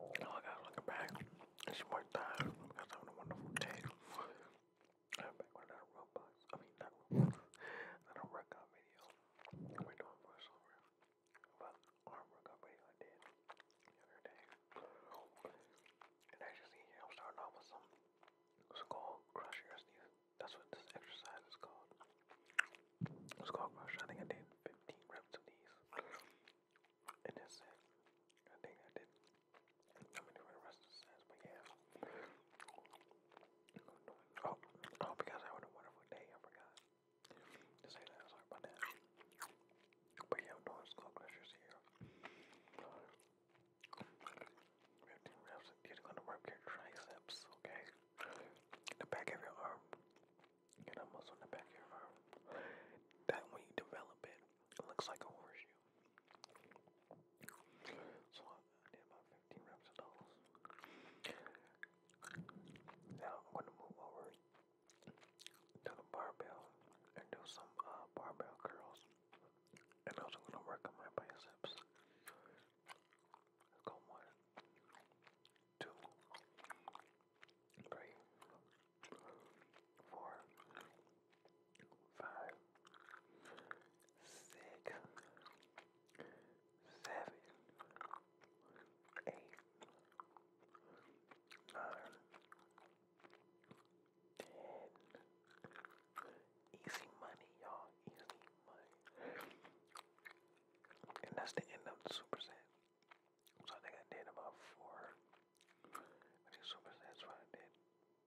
All oh, I gotta back and she more tired because a wonderful day. I'm back with another Roblox. I mean not another workout video. We're doing voiceover. But our workout video I did the And as you see here I'm starting off with some it's called That's what this exercise is called. It's crush. I think I did 15 reps of these and that's it. I think I did. I mean, for the rest of the sense, but yeah. Oh, oh, because I had a wonderful day. I forgot to say that. Sorry about that. But yeah, no, it's called Pleasures here. Fifteen reps. You're gonna work your triceps, okay? The back of your arm, Get a muscle the back of That when you develop it, it looks like a horseshoe. So I did about 15 reps of those. Now I'm going to move over to the barbell and do some uh, barbell curls. And also going to work on my biceps. go one, two, three, four, five, six, seven, eight, nine, ten. Easy money, y'all. Easy money. And that's the end of the super set. So I think I did about four. I did super sets, what I did.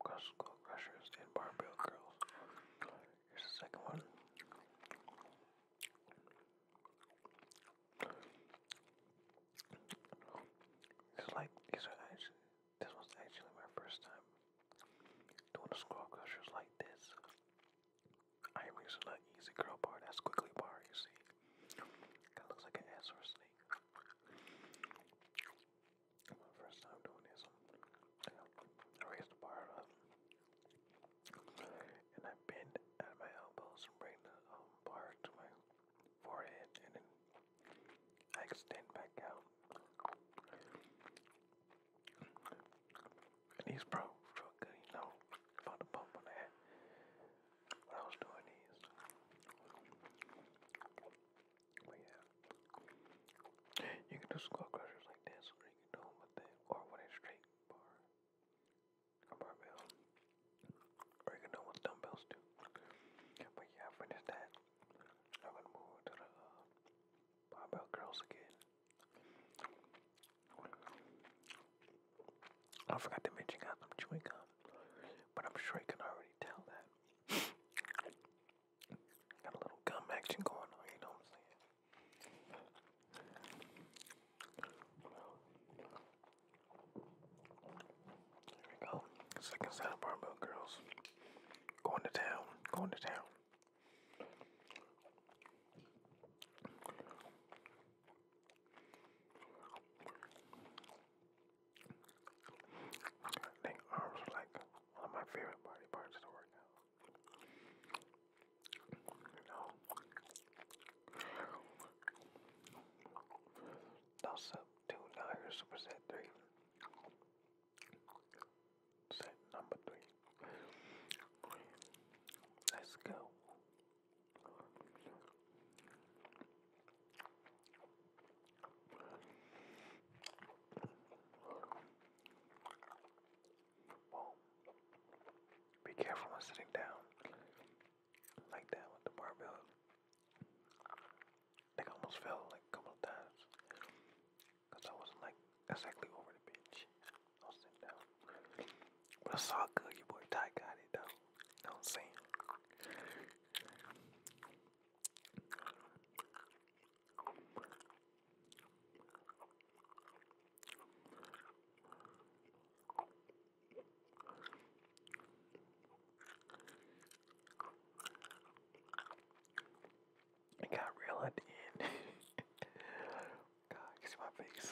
Crush Skull Crushers and Barbell Curls. Here's the second one. It's like, these are actually, this was actually my first time doing the Skull Crushers like this. I am using the easy curl bar, that's quickly bar, you see. That looks like an ass or a snake. My first time doing this, I raised the bar up and I bend at my elbows and bring the um, bar to my forehead, and then I extend back out. And these bros good, you know, about the pump on that when I was doing these. But yeah, you can do skull crushers like this, or you can do them with it, or with a straight bar or barbell, or you can do them with dumbbells too. But yeah, I finished that. I'm gonna move to the uh, barbell curls again. I forgot to mention guys I'm chewing gum, but I'm sure you can already tell that. Got a little gum action going on, you know what I'm saying? There we go. Second side of barbell girls. Going to town, going to town. I think arms are like one of my favorite body parts to the out. You know, toss up two, now here's superset three. Set number three. Let's go. Whoa. Be careful when sitting down like that with the barbell. I I almost fell like a couple of times because I wasn't like exactly over the bench. I was sitting down. But I saw good. Your boy Ty got it though. You know what I'm saying? It got real at the end. God, you see my face.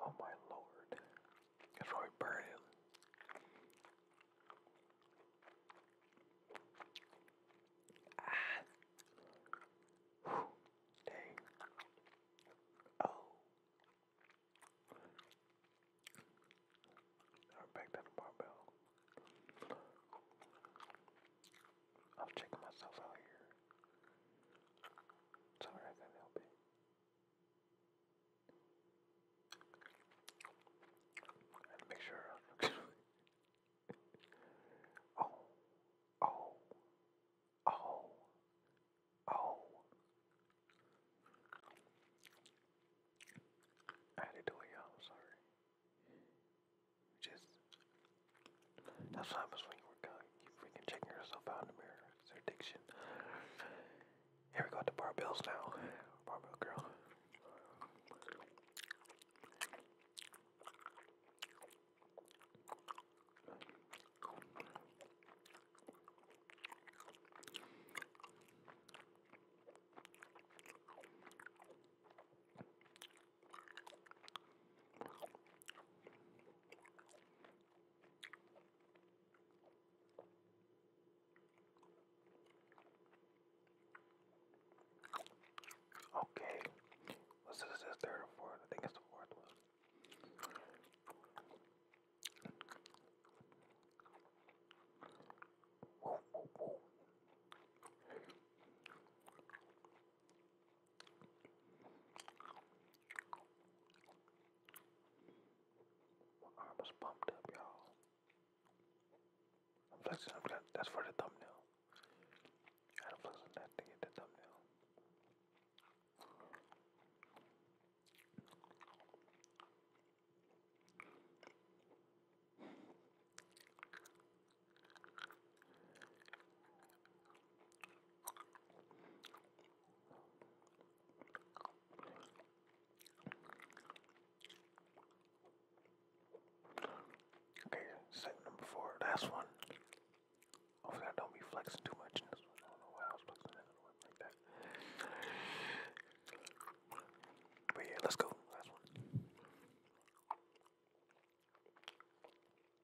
Oh my lord. It's probably burning. Ah. Whew. Dang. Oh. I'll back that barbell. I'm checking myself out here. Sorry, I can't help it. make sure. oh, oh, oh, oh. I had do it, y'all. I'm sorry. Just that's what happens when you work You freaking checking yourself out in the mirror. It's an addiction. Here we go to barbells now. Barbell girl. Okay, what's this? third or fourth? I think it's the fourth my arm is pumped up, y'all. I'm flexing. That's for the thumbnail. Gotta flex that to get the thumbnail. Okay, set number four, last one. Hopefully, I don't be flexing too much in this one. But yeah, let's go. Last one.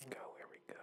Here we go, here we go.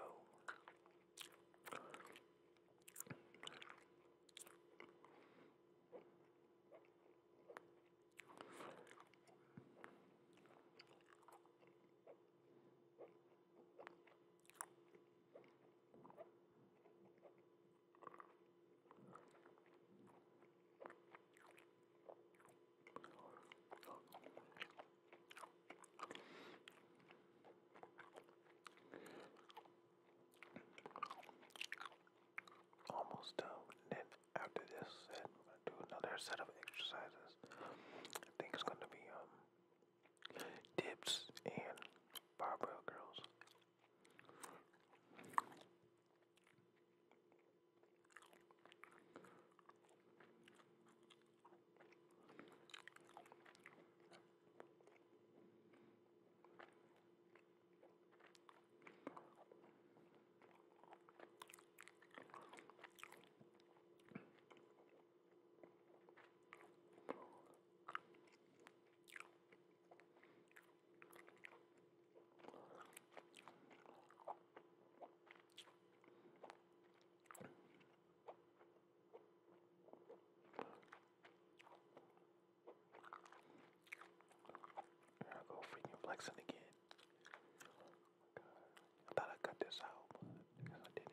Almost done. Then after this I'm gonna do another set of exercises. I think it's gonna be um Dips and barbell girls. Here I go freaking flexing again. Oh my God. I thought I cut this out, but I guess I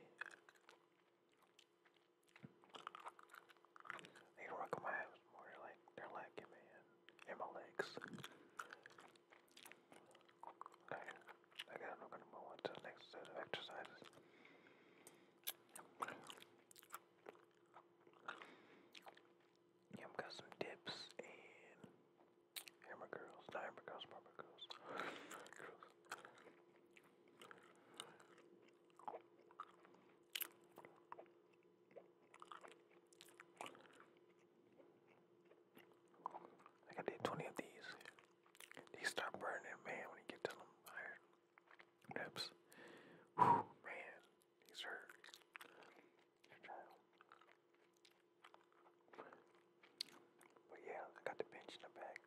they work my abs They're like they're lacking, man, and my legs. Okay, I guess I'm gonna move on to the next set of exercises. Yeah, I've got some dips and hammer girls, not hammer girls, barber girls. Like I did 20 of these. These start burning, man, when you get to them higher reps. man, these hurt. But yeah, I got the bench in the back.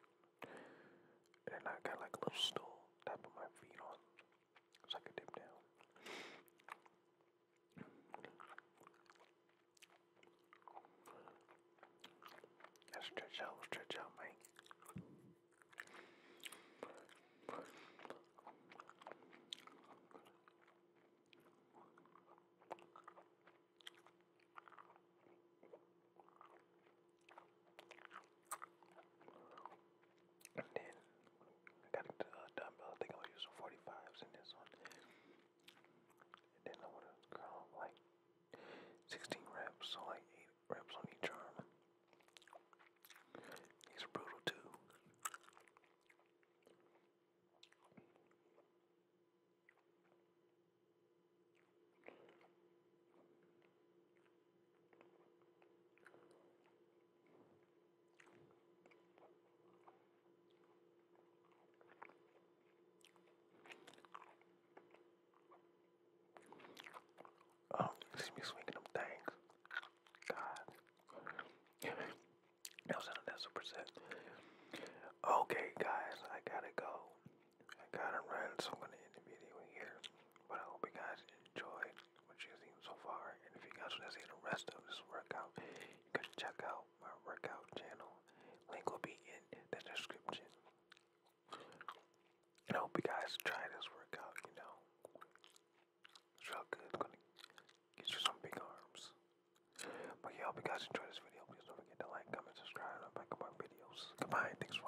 And I got like a little stool to put my feet on so I could dip down. stretch out, stretch out, mate. And then I got a dumbbell. I think I'm use some 45s in this one. And then I wanna curl like 16 reps, so like 8 reps on each arm. He's brutal too. Oh, see me swinging them things. God. that was another super set. Okay, guys, I gotta go. I got of ran, so I'm gonna end the video here. But I hope you guys enjoyed what you've seen so far. And if you guys wanna see the rest of this workout, you can check out my workout channel. Link will be in the description. And I hope you guys try this workout, you know. It's real good, it's gonna get you some big arms. But yeah, I hope you guys enjoy this video. Please don't forget to like, comment, subscribe, and like will my videos. Goodbye, thanks